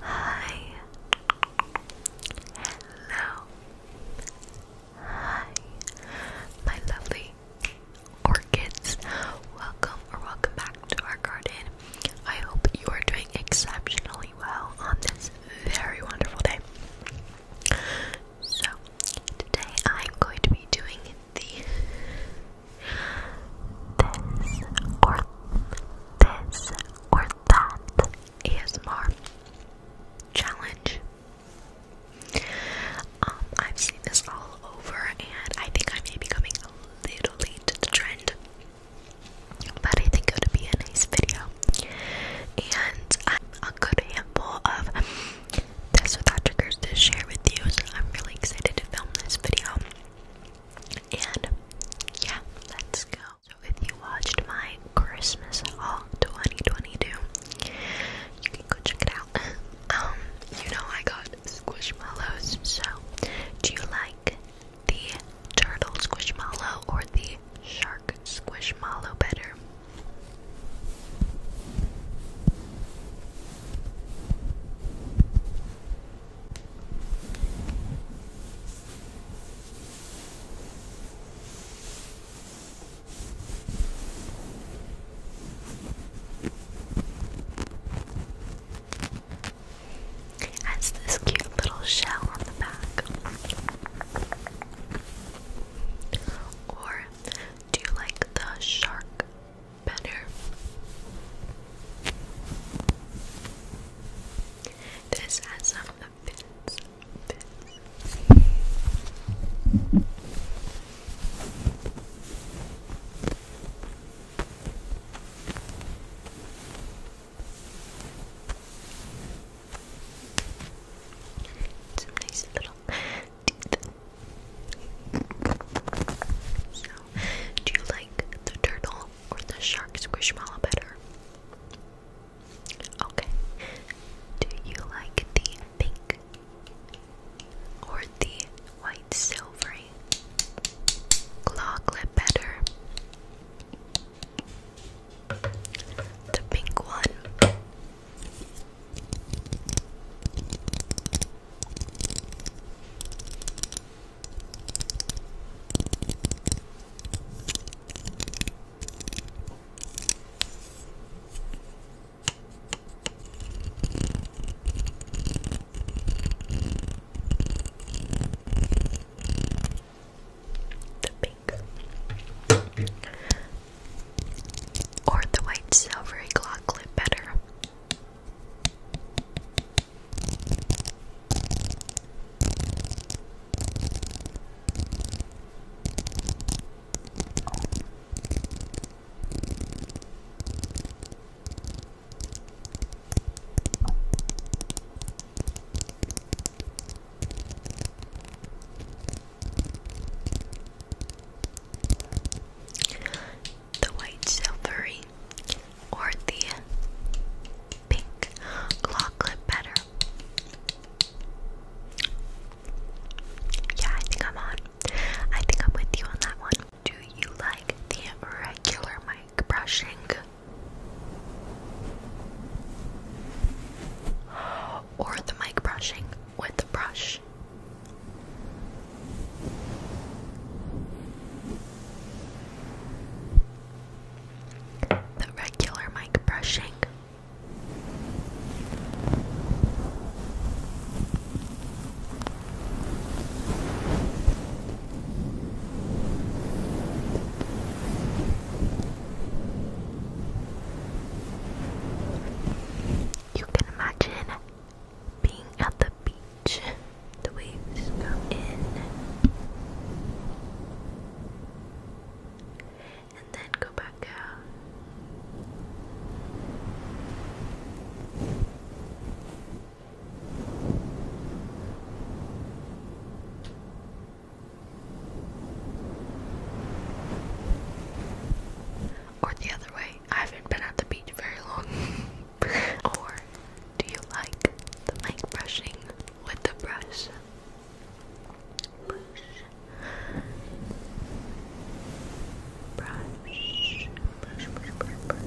Hi. Hello. Hi. My lovely orchids. Welcome or welcome back to our garden. I hope you are doing exceptionally well on this very wonderful day. So, today I'm going to be doing the this or this or that ASMR challenge. Um, I've seen this all over, and I think I may be coming a little late to the trend, but I think it would be a nice video. And a good handful of this or that triggers to share with you. I'm really excited to film this video. And yeah, let's go. So if you watched my Christmas haul 2022, you can go check it out. Um, you know I got squishmallows, so do you like the turtle squishmallow or the shark squishmallow better? Has this cute little shell on the back, or do you like the shark better? This has some bits, some nice little teeth. So, do you like the turtle or the shark squishmallow better? Okay. Do you like the pink or the white silvery claw clip better? the pink one the pink, or the white silvery claw clip better. The white silvery or the pink claw clip better. Yeah, I think I'm on. I think I'm with you on that one. Do you like the regular mic brushing or the mic brushing with the brush. The regular mic brushing. You can imagine being at the beach, the waves come in and then go back out. Or the other way, I haven't been at the beach very long. or do you like the mic brushing with the brush? Brush. Brush. Brush, brush, brush, brush.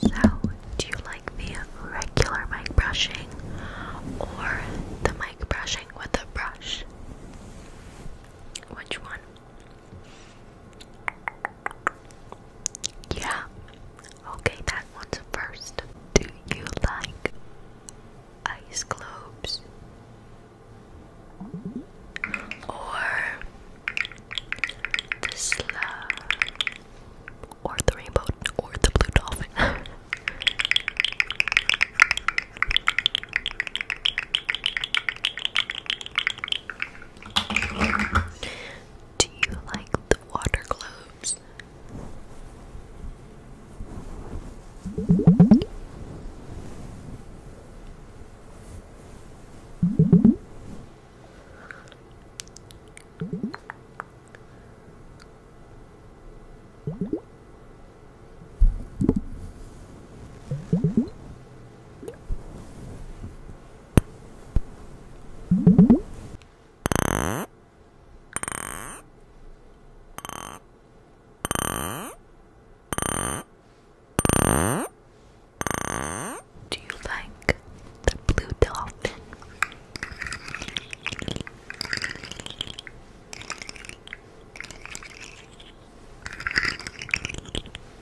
So, do you like the regular mic brushing or the mic brushing with a brush? Which one? Yeah, Okay, that one's first. Do you like ice globes? Or the slug? Uh, or the rainbow? Or the blue dolphin? Do you like the water gloves? Do you like the blue dolphin?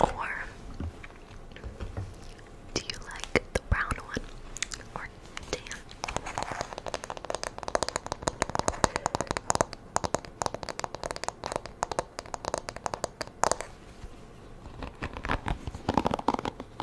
Or do you like the brown one or tan?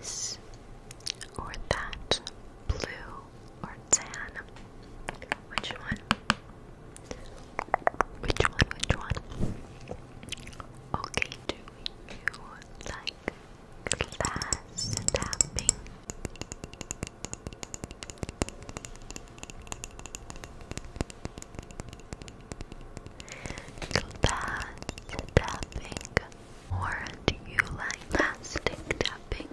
This or that, blue or tan. Which one? Which one? Which one? Okay, do you like glass Glass tapping, or do you like plastic tapping?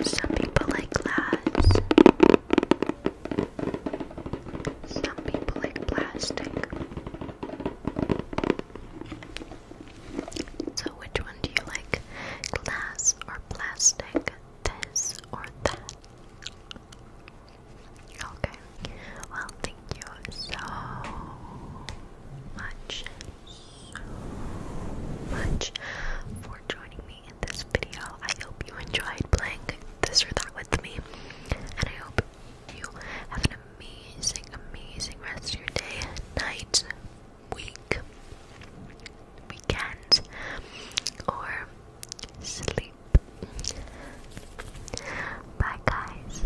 Some people like glass. Some people like plastic. So, which one do you like? Glass or plastic? This or that? Okay. Well, thank you so much much for joining me in this video. I hope you enjoyed playing this or that with me, and I hope you have an amazing, amazing rest of your day, night, week, weekend, or sleep. Bye, guys.